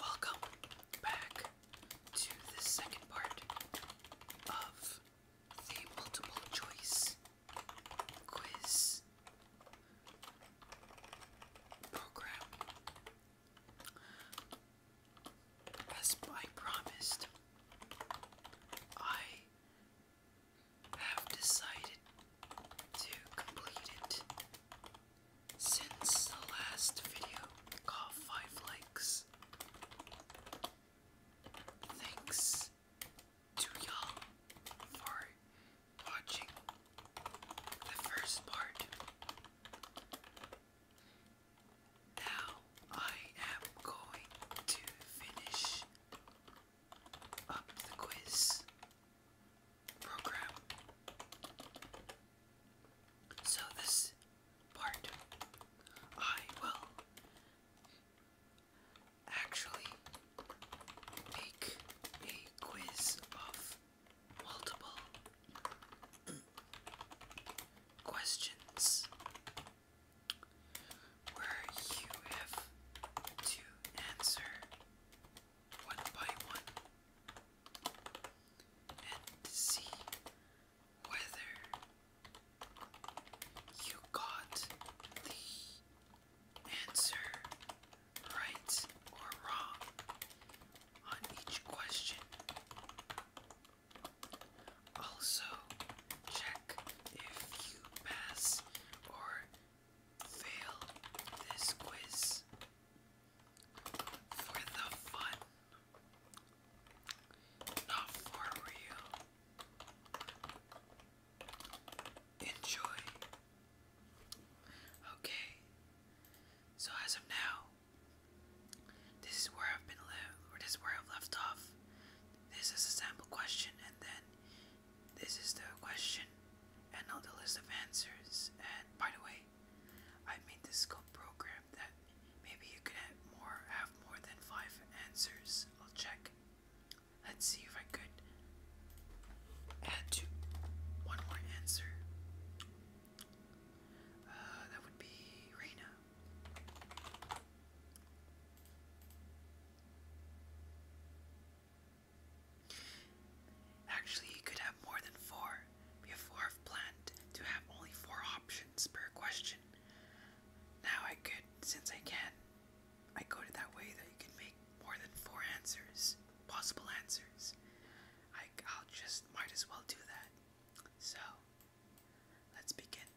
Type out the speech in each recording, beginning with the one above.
Welcome back to the second part of the multiple choice quiz program. As I promised, I have decided to complete it. Since the last video got 5 likes, thanks to y'all for watching the first part. Now I am going to finish up the quiz program. So, this part I will actually make a quiz of multiple questions where you have to answer one by one and see whether you got the answer right or wrong on each question. Also, check if you pass or fail this quiz for the fun, not for real. Enjoy. Okay, so as of now, this is where I've been left, or this is where I've left off. This is a sample question, and then this is the question and not the list of answers. And by the way, I made this scope program that maybe you could have more have more than five answers. I'll check. Let's see if I could add to one more answer. Uh, that would be Reina. Actually, you could have more than four. Before I've planned to have only four options per question. Now I could, since I can, I go to that way that you can make more than four answers, possible answers. I, I'll just might as well do that. So, let's begin.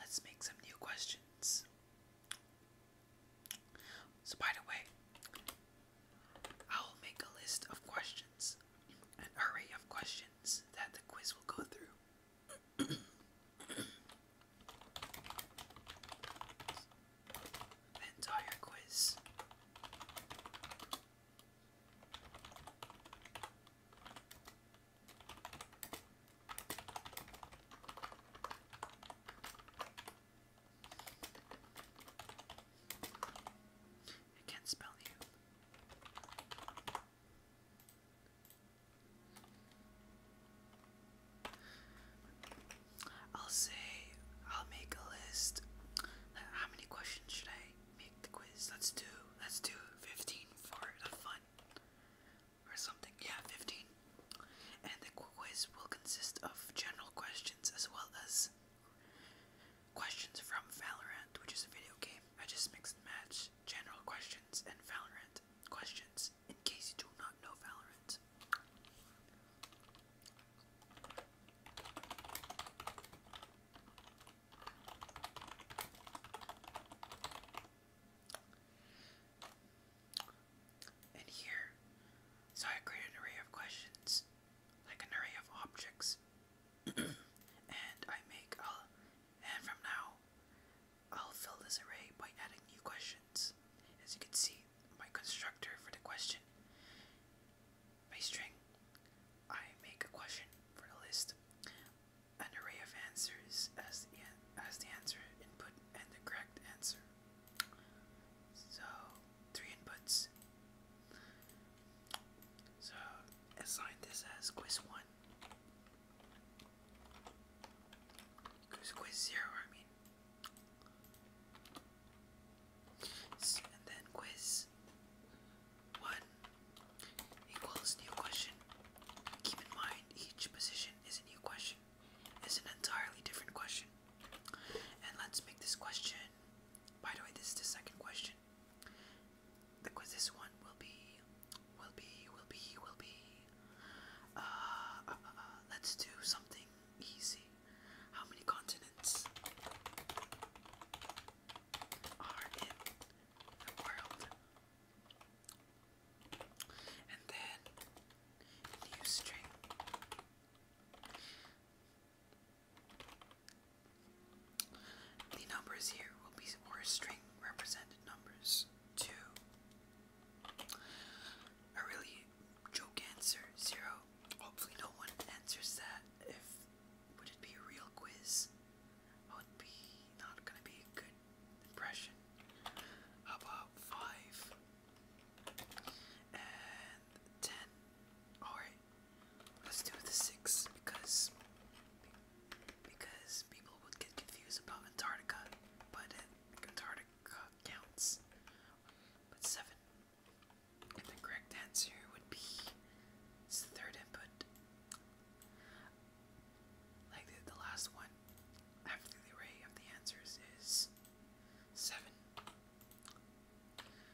Let's make some new questions. So, by the way, I'll make a list of questions, an array of questions that the quiz will go through. the entire quiz. I can't spell you. I'll say I'll make a list. How many questions should I make the quiz? Let's do let's do 15 for the fun or something. Yeah, 15. And the quiz will consist of general questions as well as questions from Valorant, which is a video game. I just mix and match general questions and Valorant questions in case you do not know Valorant and here. So I created an array of questions, like an array of objects, and I make a. And from now, I'll fill this array by adding new questions. As you can see, my constructor for the question, my string, I make a question for the list, an array of answers as the as the answer input and the correct answer. So, three inputs. So, assign this as quiz 1. Quiz, 0, I mean. And then quiz 1 equals new question. Keep in mind each position is a new question question is an entirely different question. And let's make this question. By the way, this is the second question. Because this one will be, will be, will be, will be. Uh, uh, uh, uh, let's do something easy. How many continents are in the world? and then new string. The numbers here will be or string represented numbers. Two. A really joke answer, zero. Hopefully no one answers that. If would it be a real quiz? would be not gonna be a good impression. about five? and 10. Alright, let's do the 6 because because people would get confused about Antarctica, but Antarctica counts. But 7. And the correct answer would be it's the third input. Like the last one, after the array of the answers is 7.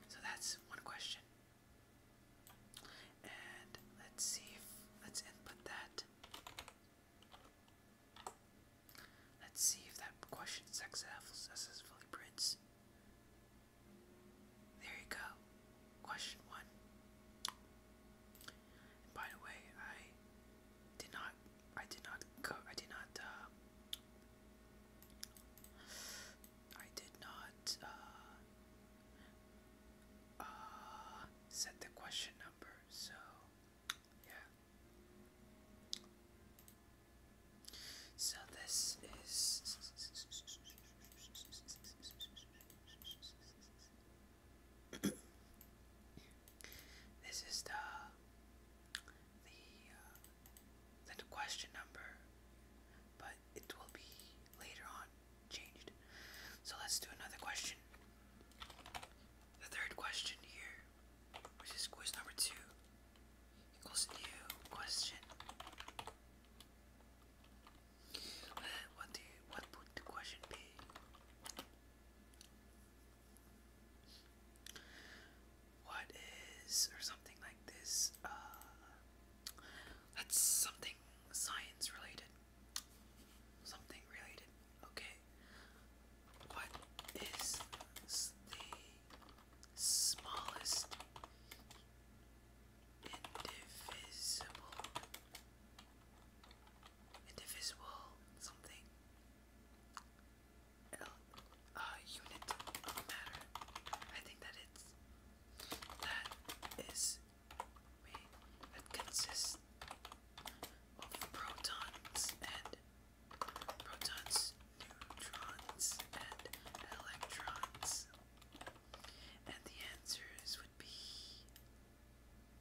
So that's one question. And let's see if let's input that. Let's see if that question successfully prints. There you go. Question one by the way, I did not, I did not, I did not, uh, I did not, uh, uh, set the question number, so, yeah. So this is this is the the uh, the question number, but it will be later on changed. So let's do another question. The third question here, which is quiz number two, equals new question. What do what would the question be? What is or something like this? Uh, that's something science related. Something related. Okay. What is the smallest indivisible? Indivisible something uh, unit of matter. I think that it's that is made that consists of protons and protons, neutrons, and electrons. And the answers would be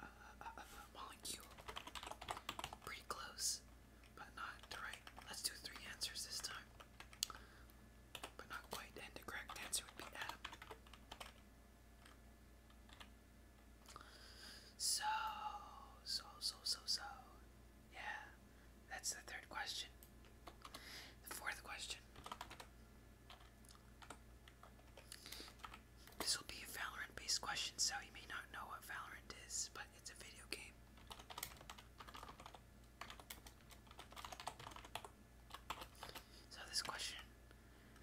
uh, uh, uh Pretty close, but not right. Let's do three answers this time, but not quite. And the correct answer would be atom. So, so, so, so, so. Yeah, that's the third question. The fourth question this will be a Valorant based question, so you may not know what Valorant is, but it's a video game. So, this question,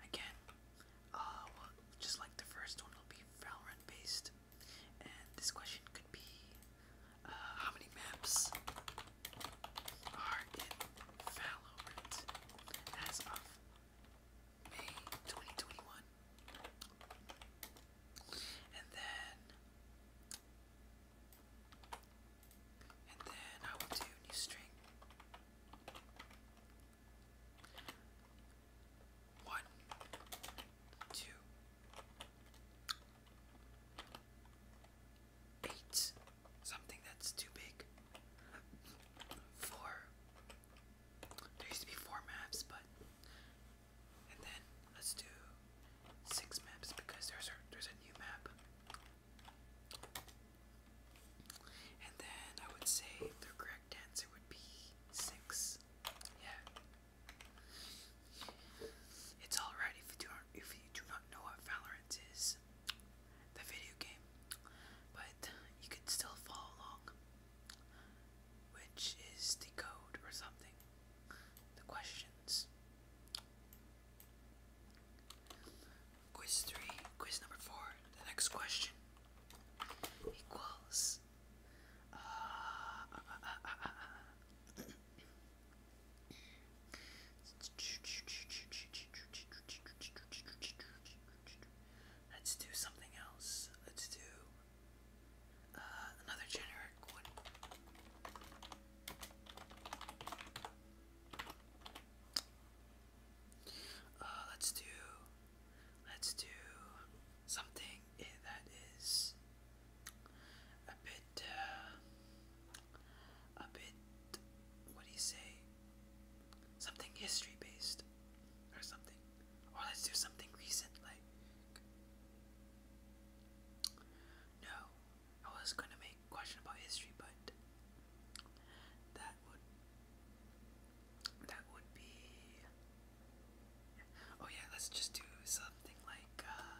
again, uh, just like the first one, will be Valorant based. And this question could be uh, how many maps are in as of May 2021. And then and then I will do new string. One, two, eight, something that's too big. Four. There used to be four maps, but and then let's do six maps because there's a there's a new map. And then I would say the correct answer would be six. Yeah. It's alright if you do not if you do not know what Valorant is the video game, but you can still follow along, which is the code or something, the questions. Quiz 3, quiz number 4, the next question equals. Uh, uh, uh, Let's do something else. Let's do uh, another generic one. Uh, let's do, let's do something that is a bit uh, a bit, what do you say, something history based or something. Or let's do something recent, like. No, I was gonna make question about history, but that would that would be. Oh yeah, let's just do something like. Uh,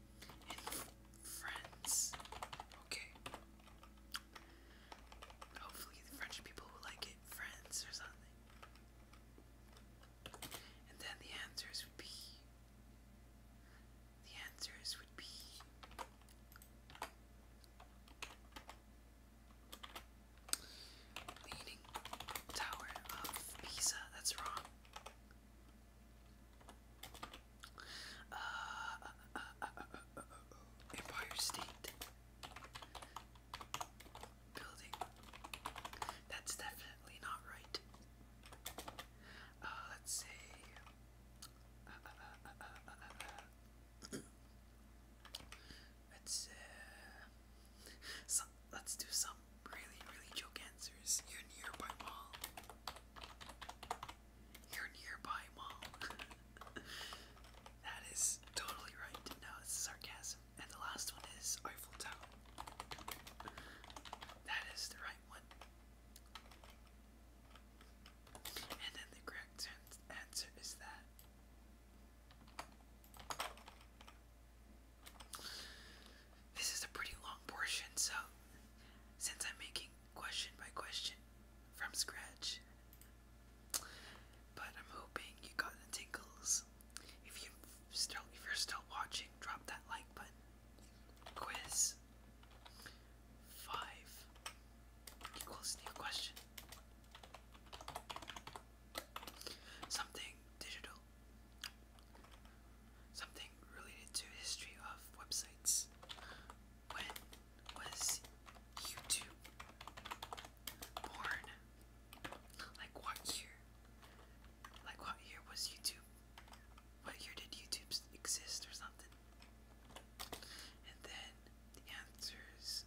friends. Okay. Hopefully, the French people will like it. Friends or something. And then the answers would be. The answers would be. Leaning Tower of Pisa. That's wrong. Empire State Building. That's definitely not right. Uh, let's say. Let's uh, let's do some really, really joke answers. You're nearby mall. You're nearby mall. that is totally right. No, it's sarcasm. And the last one is Eiffel That is the right one. And then the correct answer is that. This is a pretty long portion, so since I'm making question by question from scratch, but I'm hoping you got the tingles. If you still if you're still watching, drop that like button. Quiz five equals new question. Something digital Something related to history of websites. When was YouTube born? Like what year? Like what year was YouTube? What year did YouTube exist or something? And then the answers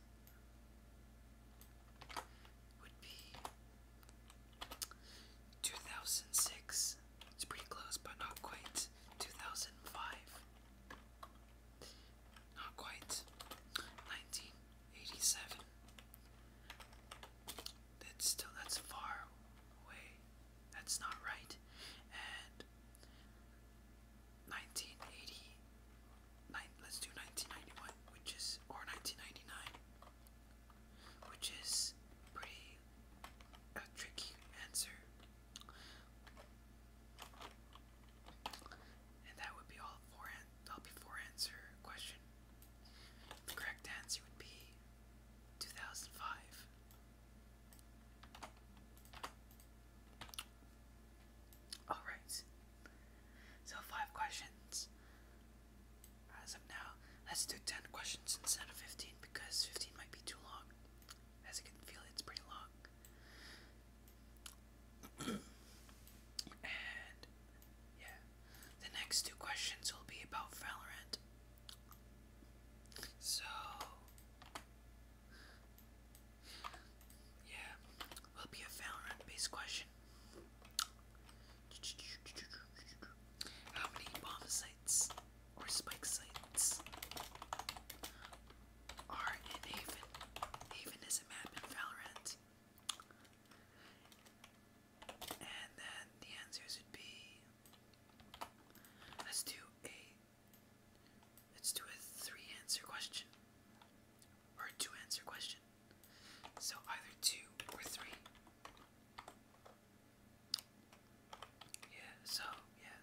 would be 2006 it's pretty close, but not quite. 2005. Not quite. 1987. That's still, that's far away. That's not right. And 1980. let let's do 1991, which is, or 1999 which is pretty a tricky answer. And that would be all for that'll be four answer question. The correct answer would be 2005. Alright, so five questions. As of now, let's do 10 questions instead of 15 because 15 might be too long. As you can feel, it's pretty long. and yeah, the next two questions will be about Valorant. So, yeah, will be a Valorant based question. How many bombs I or spike sites are in Haven. Haven is a map in Valorant. And then the answers would be let's do a let's do a three answer question. Or two answer question. So either two or three. Yeah, so, yeah.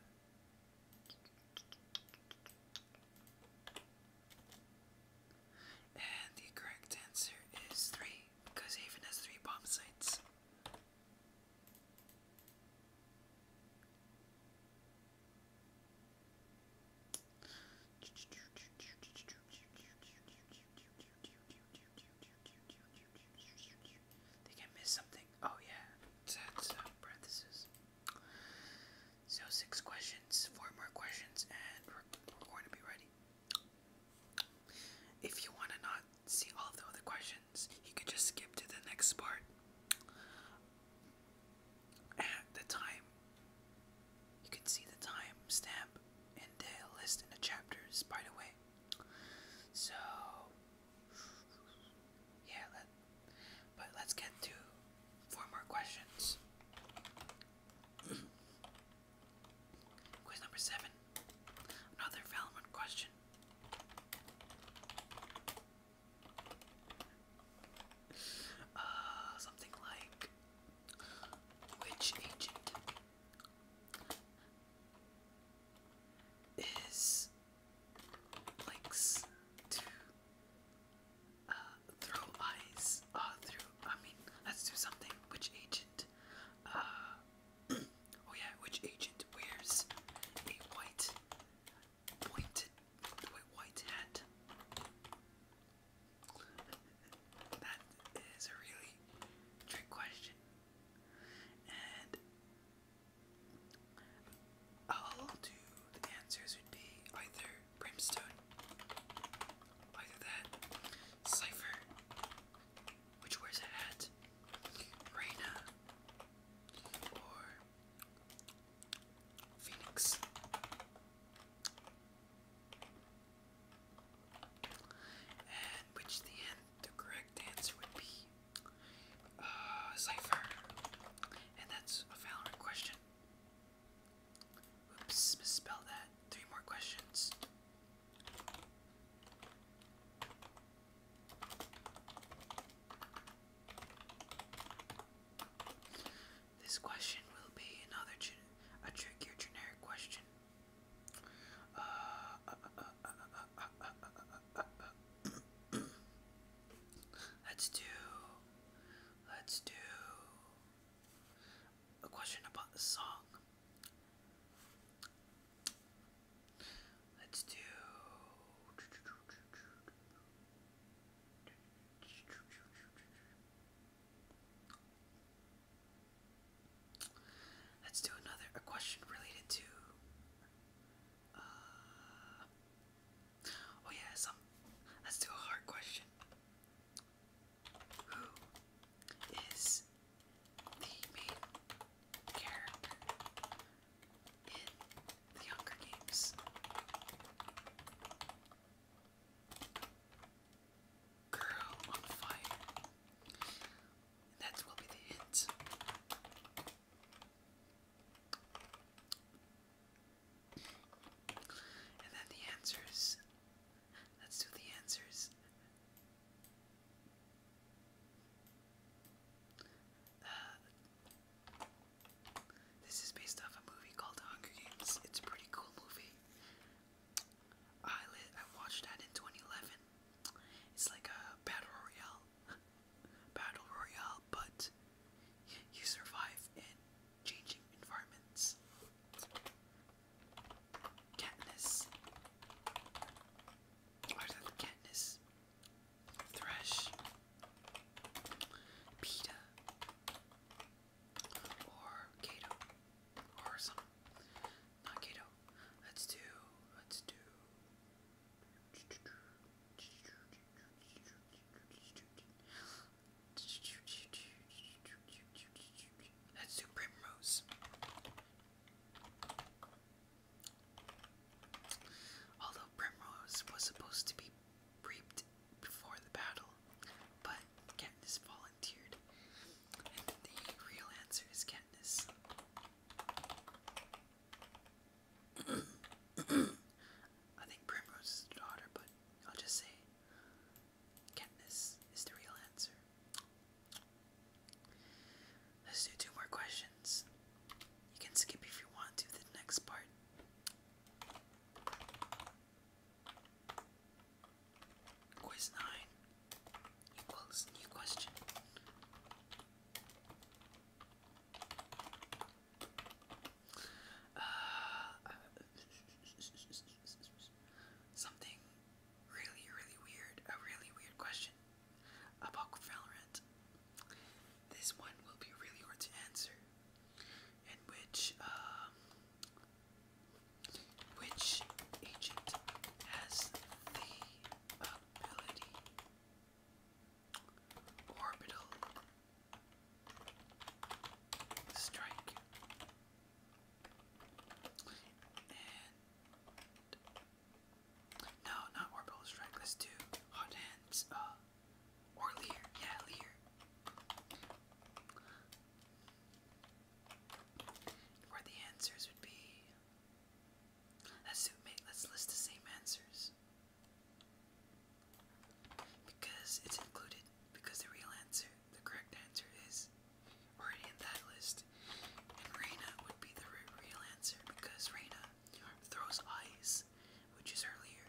And the correct answer is three, because Haven has three bomb sites. Think I miss something. Oh yeah, uh, So six questions, four more questions, and we're, going to be ready. If you want to not see all the other questions, you can just skip to the next part. At the time, you can see the time stamp and the list in the chapters, by the way. So yeah, but let's get to four more questions. Quiz number seven. Another relevant question. Uh, something like which agent is links to uh, throw eyes uh, through. I mean, let's do something. Which agent? Uh, oh yeah, which agent wears a white pointed white hat? That is a really trick question. And I'll do the answers would be either brimstone, either that, cipher, which wears a hat, Reina, or Phoenix. And which the end, the correct answer would be uh, Cypher. And that's a Valorant question. Oops, misspelled that. Three more questions. This question will be another a trickier generic question. Let's do. Let's do a question about the song. Let's do. Let's do another a question related to. Uh, oh yeah, Let's do a hard question. Who is the main character in the Hunger Games? Girl on fire. And that will be the end. And then the answers. Let's do the answers. Uh, this is based off a movie called Hunger Games. It's a pretty cool movie. I watched that in 2011. It's like a battle royale, battle royale, but you survive in changing environments. Katniss, is that Katniss? Thresh, Peta, or Kato, or some not keto. Let's do. Let's do. let primrose. Although primrose was supposed to be reaped before the battle, but Katniss volunteered the real answer is Katniss. I think Primrose's daughter, but I'll just say Katniss is the real answer. Let's do two more questions. You can skip if you want to the next part. Quiz 9 equals new question. Uh, something really, really weird, a really weird question about Valorant. This one will be really hard to answer, in which um, which agent has the ability orbital strike and no, not orbital strike. Let's do hot hands. Uh, or Lear, yeah, Lear. Where the answers would be Let's list the same answers. Because it's included, because the real answer, the correct answer is already in that list. And Reina would be the real answer because Reina throws ice, which is earlier.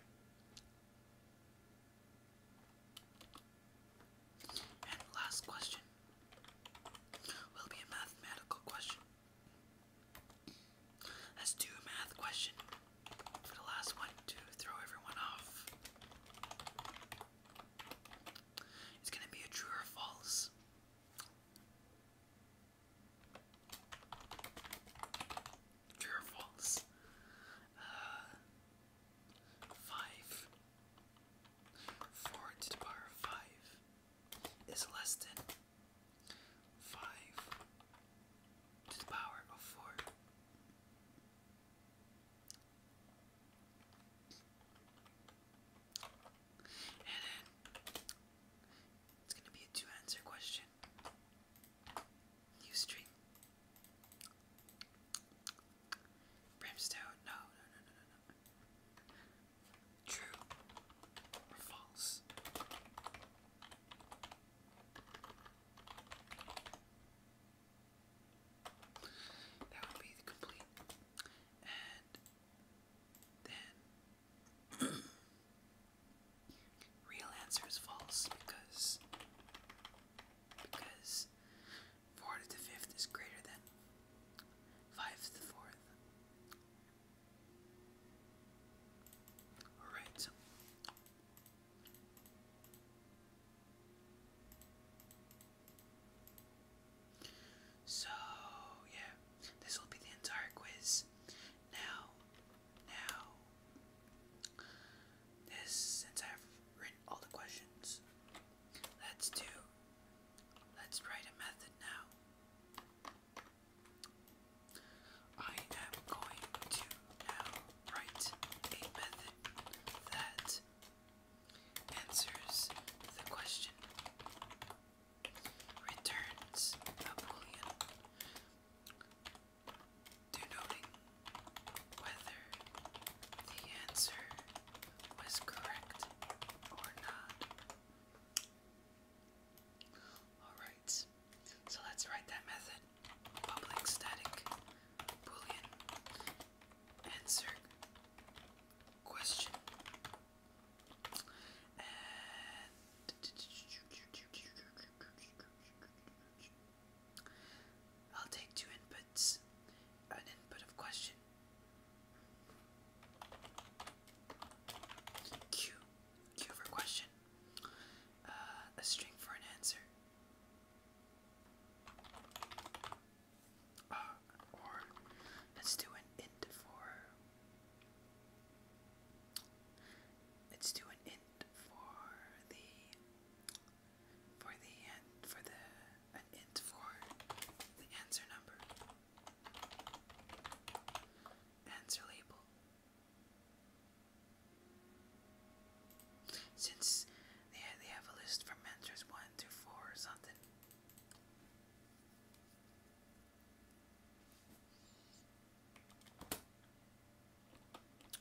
And last question will be a mathematical question. That's two math question for the last one to throw everyone off. It's gonna be a true or false. True or false? Uh, five 4 to the power of 5 is less than 5 to the power of 4. And it's going to be a two answer question. New string. Brimstone. No, no, no, no, no, True or false? That would be the complete. And then real answer is false because because 4 to the 5th is greater than 5 to the 4th. Alright. So, yeah, this will be the entire quiz. Now, now, since I've written all the questions, let's do Let's write a method now. I am going to now write a method that answers the question returns a boolean denoting whether the answer was correct or not. Alright, so let's write that method. Public static boolean answer question. I'll take two inputs an input of question Q. Q for question. Uh, a string for an answer. Uh, or let's do an int for. Let's do an int for the for the and for the an int for the answer number, answer label. Since they they have a list from mentors 1 to 4 or something.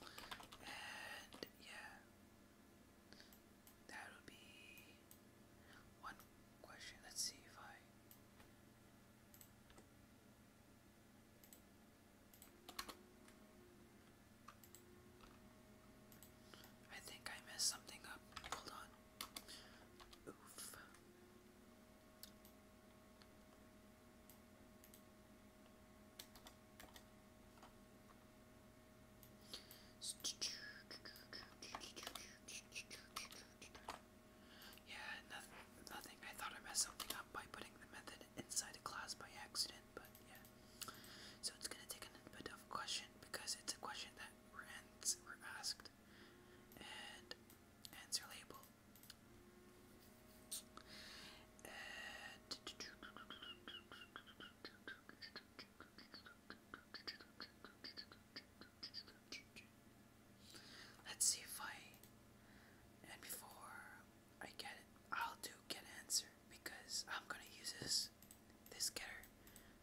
And yeah, that would be one question. Let's see if I. I think I messed something up. Hold on. Oof. Yeah, nothing, I thought I messed something up by putting the method inside a class by accident, but yeah. So it's gonna take a bit of a question because it's a question that we asked and answer label. Let's see if I. And before I get it, I'll do get answer because I'm gonna use this this getter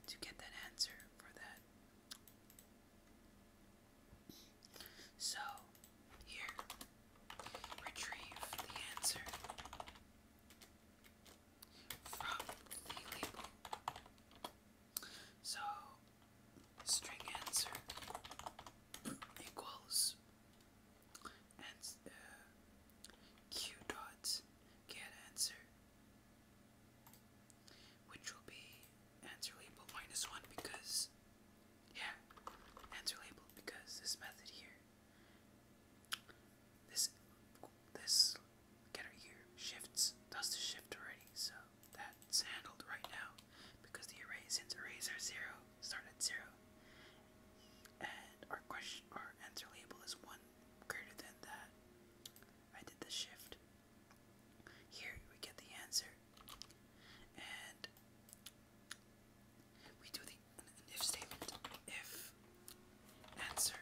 to get that answer for that. So here, retrieve the answer. So, string answer equals and uh, q dots get answer, which will be answer label minus one because, yeah, answer label because this method here this this getter here shifts does the shift already, so that's handled right now because the arrays array the arrays are zero, start at zero. And our question our answer label is one greater than that. I did the shift. Here we get the answer. And we do the if statement if answer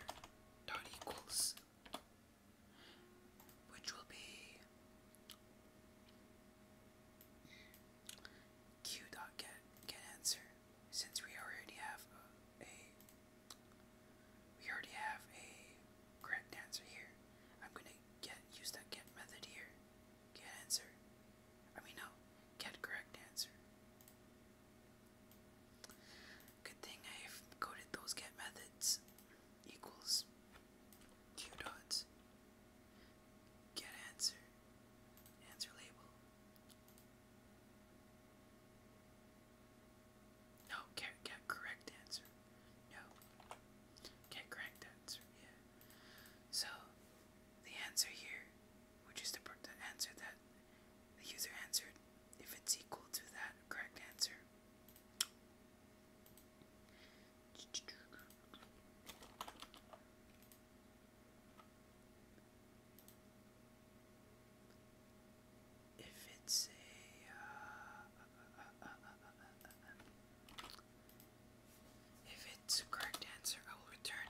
dot equals which will be Q dot get get answer since we already have a, a we already have a correct answer here. I'm gonna get use that get method here. Get answer. I mean no, get correct answer. Good thing I've coded those get methods equals q dots get answer answer label. No, get get correct answer. No. Get correct answer, yeah. So the answer here, which is the, the answer that the user answered, if it's equal to that correct answer. If it's a, uh, if it's a correct answer, I will return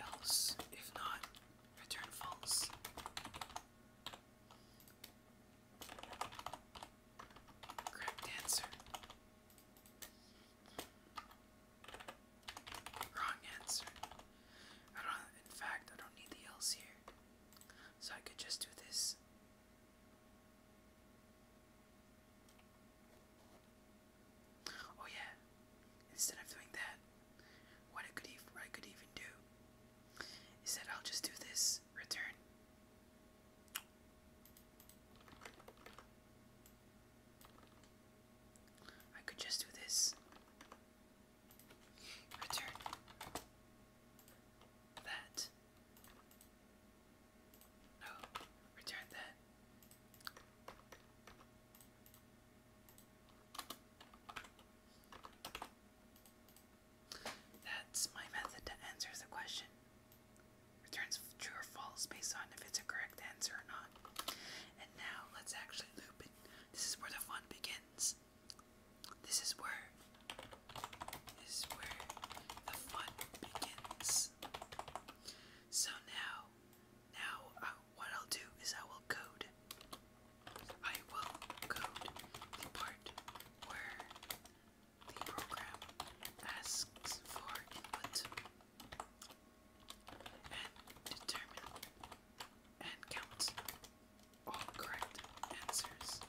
Else, if not, return false. Correct answer. Wrong answer. in fact, I don't need the else here. So I could just do this. Oh yeah, instead of doing that, what I could, even, do is that I'll just do this return. I could just do this return that no, return that. That's my method to answer the question. Returns true or false based on if it's a correct answer or not. And now let's actually loop it. This is where the fun begins. This is where this is where the fun begins. So now, now uh, what I'll do is I will code. I will code the part where the program asks for input and determine and count all correct answers.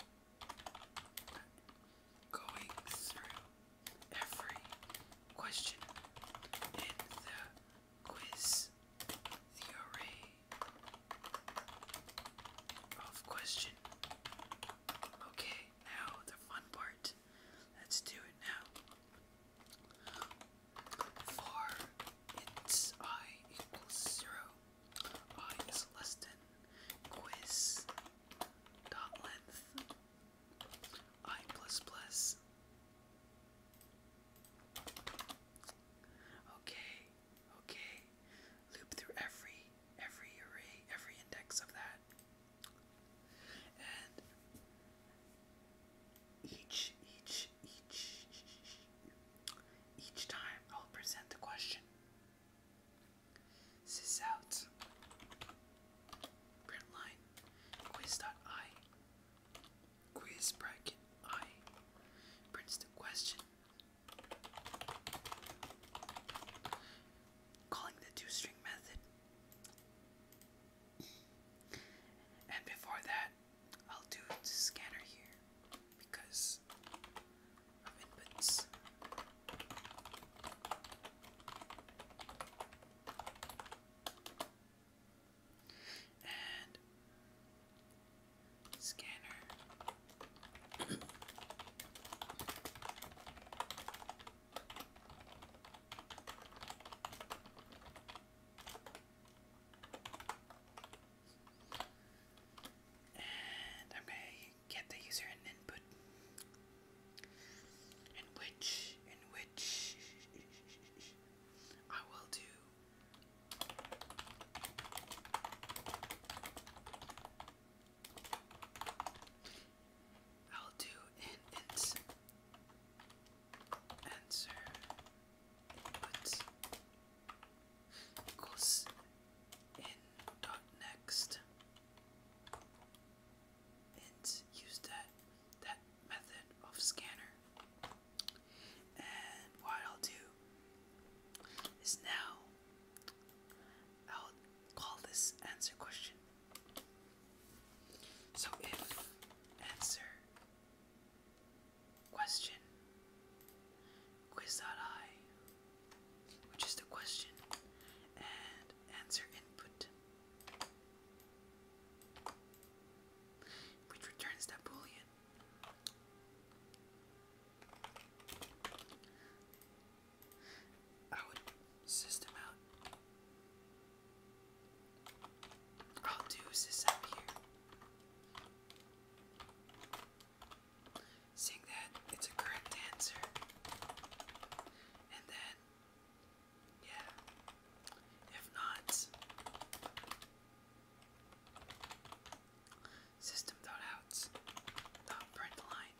Going through every question in the quiz array of question. Okay, now the fun part. Let's do it now. For its i equals zero. I is less than quiz dot length I plus plus. Okay, okay. Loop through every every array, every index of that. And each each each each time I'll present the question. Sis out. Print line. Quiz.i. Quiz bracket i. Prints the question. Calling the two string method. And before that, I'll do the scanner here because inputs. And scanner. And I'm going to get the user and input in which in which I will do I'll do answer input equals in dot next and use that that method of scanner. And what I'll do is now I'll call this answer question. So if answer question quiz.i which is the question and answer input which returns Napoleon. I would system out. I'll do system here. Seeing that it's a correct answer. And then yeah. If not, system dot out print line.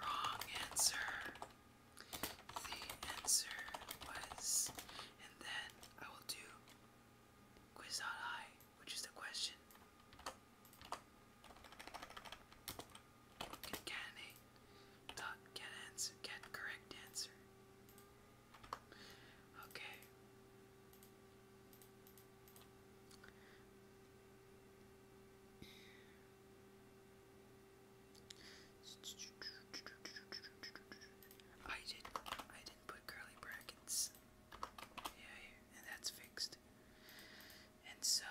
Wrong answer. The answer was, and then I will do quiz.i, which is the question Get get answer. Get correct answer. Okay. I did I didn't put curly brackets. yeah and that's fixed. And so,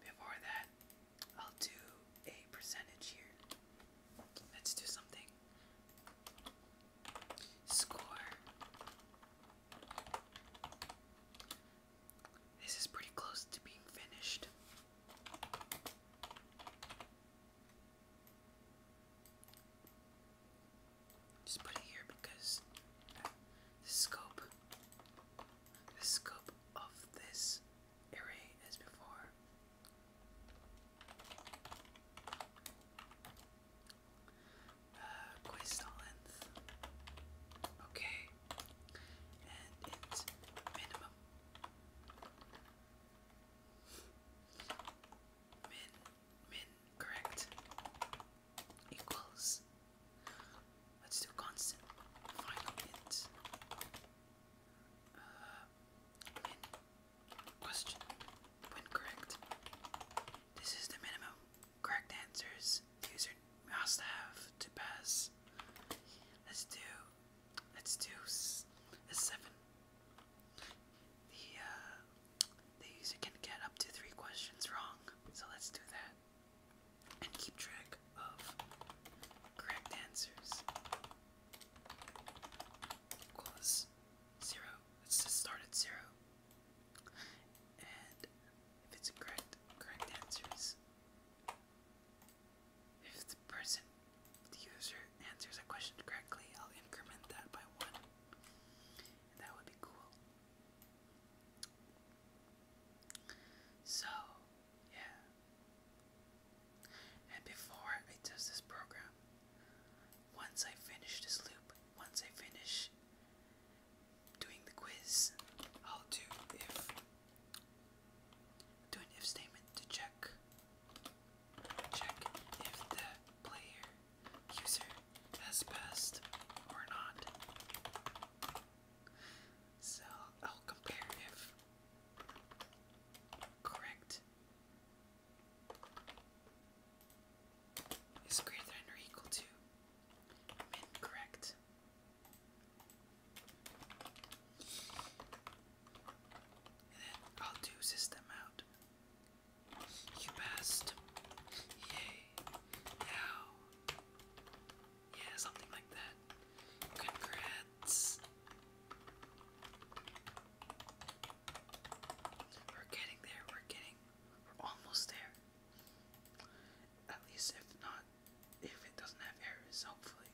before that, I'll do a percentage here. Let's do something. Score. This is pretty close to being finished. Just put it here because the scope, the scope of this array as before. Uh, length. Okay, and it's minimum. Min, min, correct. Equals Let's do constant final uh, int. question. When correct, this is the minimum. Correct answers user must have to pass. Let's do. Let's do a seven. Uh, the user can get up to three questions wrong, so let's do that and keep track of correct answers equals zero. Let's just start at zero. And if it's correct correct answers, if the person, the user answers a question correctly, I'll increment that by one. that would be cool. So, yeah. And before I test this program, once I finish this loop, once I finish doing the quiz, I'll do if do an if statement to check check if the player user has passed or not. So, oh, comparative. Correct. Is greater than equal to min correct. And then I'll do system out. You passed. Yay. Now yeah, something like that. Congrats. We're getting there, we're getting we're almost there. At least if not if it doesn't have errors, hopefully.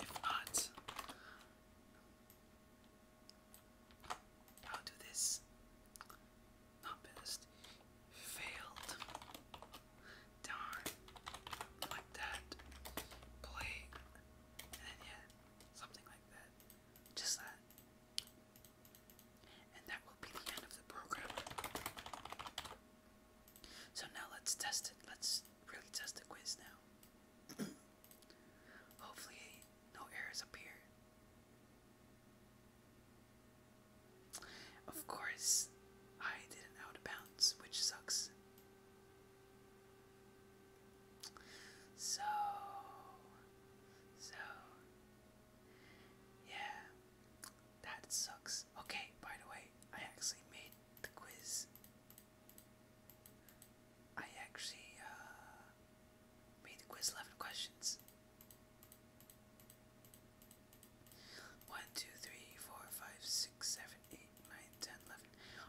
If not I'll do this. Not best. Failed. Darn. Like that. Play. And yeah. Something like that. Just that. And that will be the end of the program. So now let's test it. Let's really test the quiz now. Hopefully no errors appear. Of course, I didn't out of which sucks. So, so, yeah, that sucks. Okay, by the way, I actually made the quiz. I actually uh, made the quiz 11 questions. 1, 2, 3, 4, 5, 6, 7, 8, 9, 10, 11.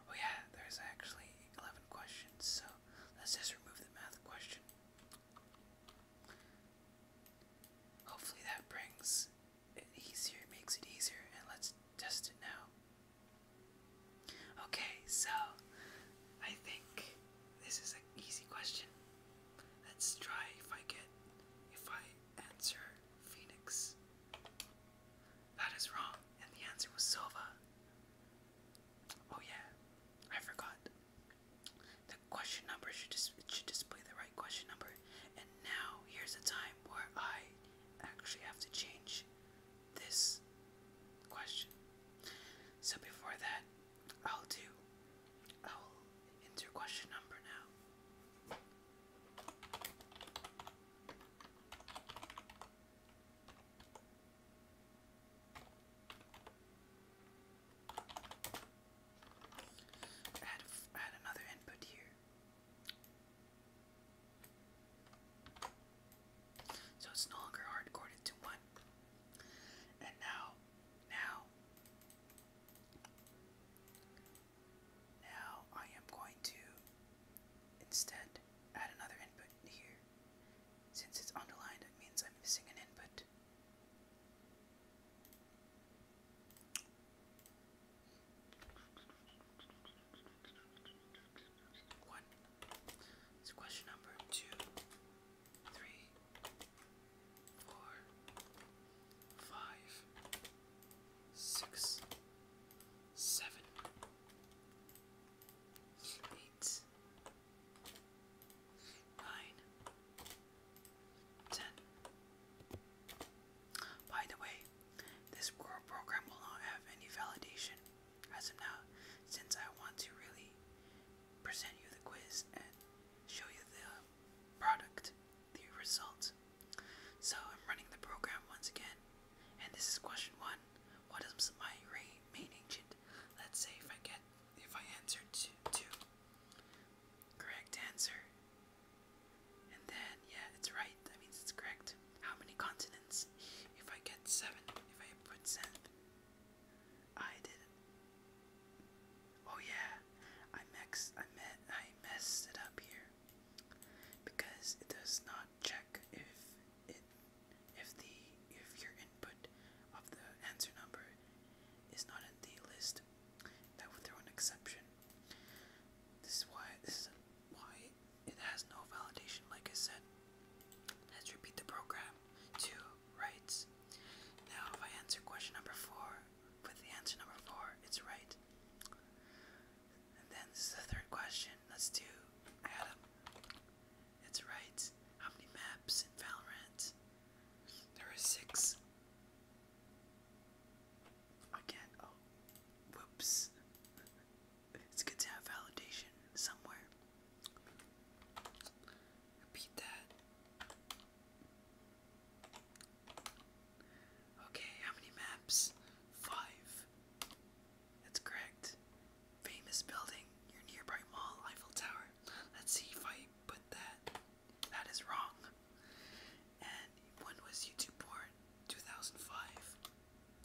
Oh, yeah, there's actually 11 questions, so let's just remove the math question. Hopefully, that brings it easier, makes it easier, and let's test it now. Okay, so I think this is an easy question. Let's try if I get if I answer Phoenix. That is wrong, and the answer was Silva. Oh yeah, I forgot. The question number should just should display the right question number. And now here's a time where I actually have to change this question. So before that, I'll do. I'll enter question number now. Add, add another input here. So it's no longer hard coded to one. And now now, now I am going to instead add another input here. Since it's underlined, it means I'm missing an input. One. It's question number two three, four, five, six, seven, eight, nine, ten. By the way, this core program will not have any validation as of now, since I want to really present you the quiz and show you the product, the result. So I'm running the program once again, and this is question one. What is my main agent? Let's say if I get, if I answer two, two, correct answer, and then yeah, it's right. That means it's correct. How many continents? If I get seven, if I put seven, I did Oh yeah, I mixed. I met. I messed it up here because it does not check if it if the if your input of the answer number is not in the list. That would throw an exception. This is why this is why it has no validation. Like I said, let's repeat the program to rights. Now, if I answer question number four with the answer number four, it's right. And then this is the third question. Let's do Adam. It's right. How many maps in Valorant? There are six. Again, oh, whoops. It's good to have validation somewhere. Repeat that. Okay, how many maps? Five. That's correct. Famous building, your nearby mall, Eiffel Tower. Let's see if I put that. That is wrong. And when was YouTube born? 2005.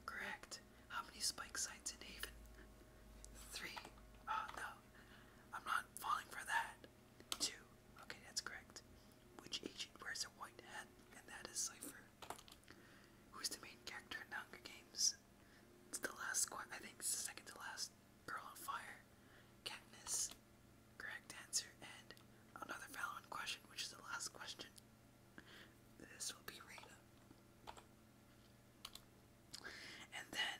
Correct. How many spike sites in Haven? Three. Oh no, I'm not falling for that. Two. Okay, that's correct. Which agent wears a white hat? And that is Cypher. Who's the main character in *The Hunger Games? It's the last I think it's the second to last Girl on Fire. Katniss. Correct answer. And another Valorant question, which is the last question. This will be Rita. And then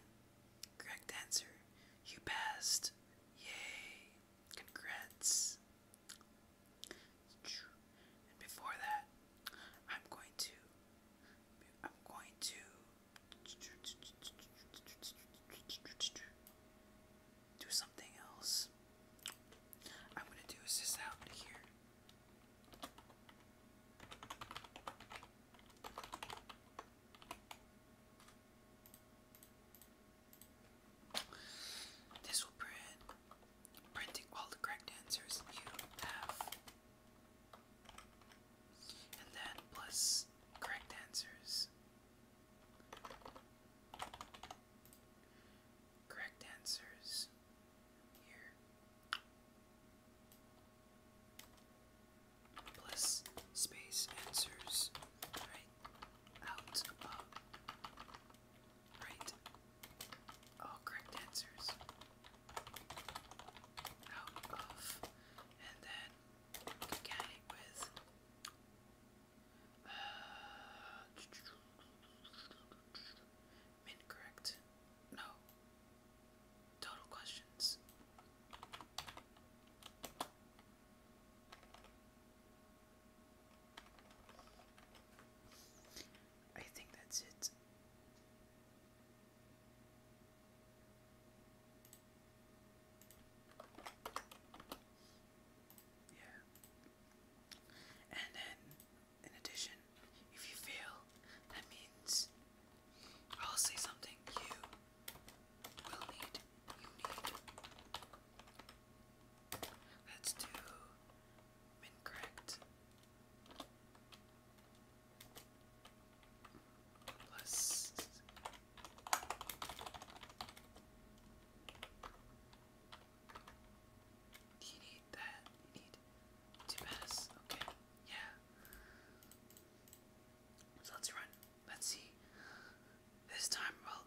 Correct answer. You passed. Yay. Congrats. And before that, I'm going to. I'm going to. Do something else. I'm gonna do is this out here. This will print printing all the correct answers you have. And then plus correct answers. Correct answers here. Plus space answers right out of right all correct answers out of and then concatenate with uh, Incorrect. No. Total questions. I think that's it. Yeah. And then, in addition, if you fail, that means I'll say something you will need. You need. Let's do incorrect. Plus. You need that. You need to pass. Okay. Yeah. So let's run. Let's see. This time we will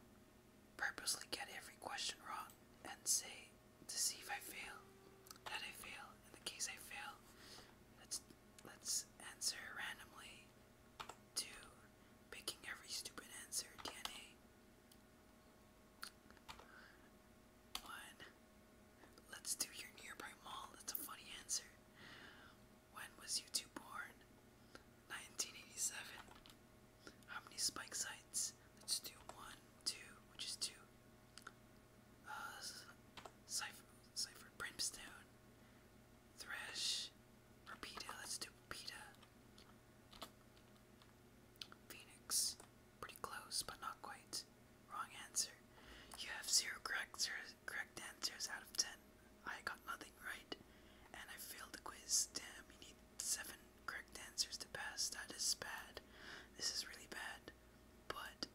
purposely get every question wrong and say to see if I fail. That I fail. In the case I fail, let's let's answer randomly to picking every stupid answer DNA. One. Let's do your nearby mall. That's a funny answer. When was you born? 1987. How many spike sites? Let's do one, two, which is two. Uh, Cypher, Cypher, Brimstone, Thresh, Rapida, let's do Rapida. Phoenix, pretty close, but not quite. Wrong answer. You have zero correct, correct answers out of 10. I got nothing right, and I failed the quiz. Damn, you need 7 correct answers to pass. That is bad. This is really bad. But,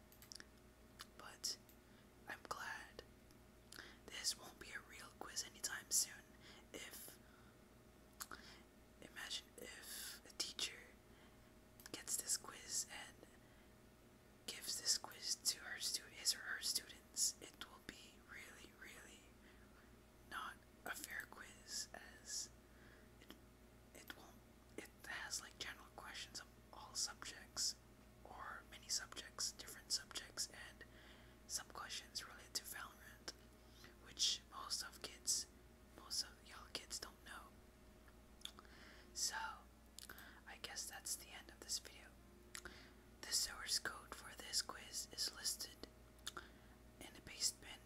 but, I'm glad. This won't be a real quiz anytime soon. If, imagine if a teacher gets this quiz and gives this quiz to her stu or her students, it will be really, really not a fair quiz as it it won't it has like general questions of all subjects or many subjects, different subjects and some questions related to valent, which most of kids most of y'all kids don't know. So I guess that's the end of this video. The source code for this quiz is listed in the basement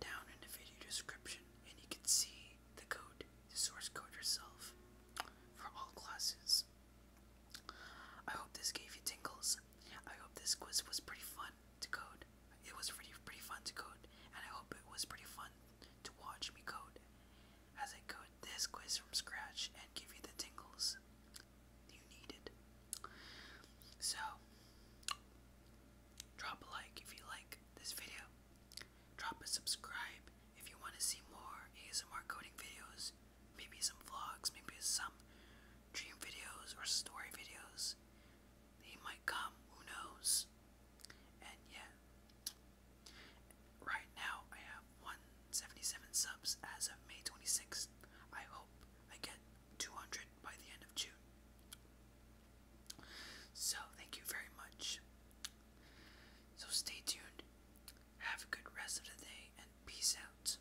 down in the video description, and you can see the code, the source code yourself, for all classes. I hope this gave you tingles. I hope this quiz was pretty fun to code. It was pretty pretty fun to code, and I hope it was pretty fun to watch me code as I code this quiz from scratch and give you the tingles you needed. So, drop a like if you like this video. Drop a subscribe if you want to see more ASMR coding videos, maybe some vlogs, maybe some dream videos or story videos. They might come, who knows? And yeah, Right now, I have 177 subs as of May 26th. I hope I get 200 by the end of June. So, thank you very much. So, stay tuned. Have a good rest of the day and peace out.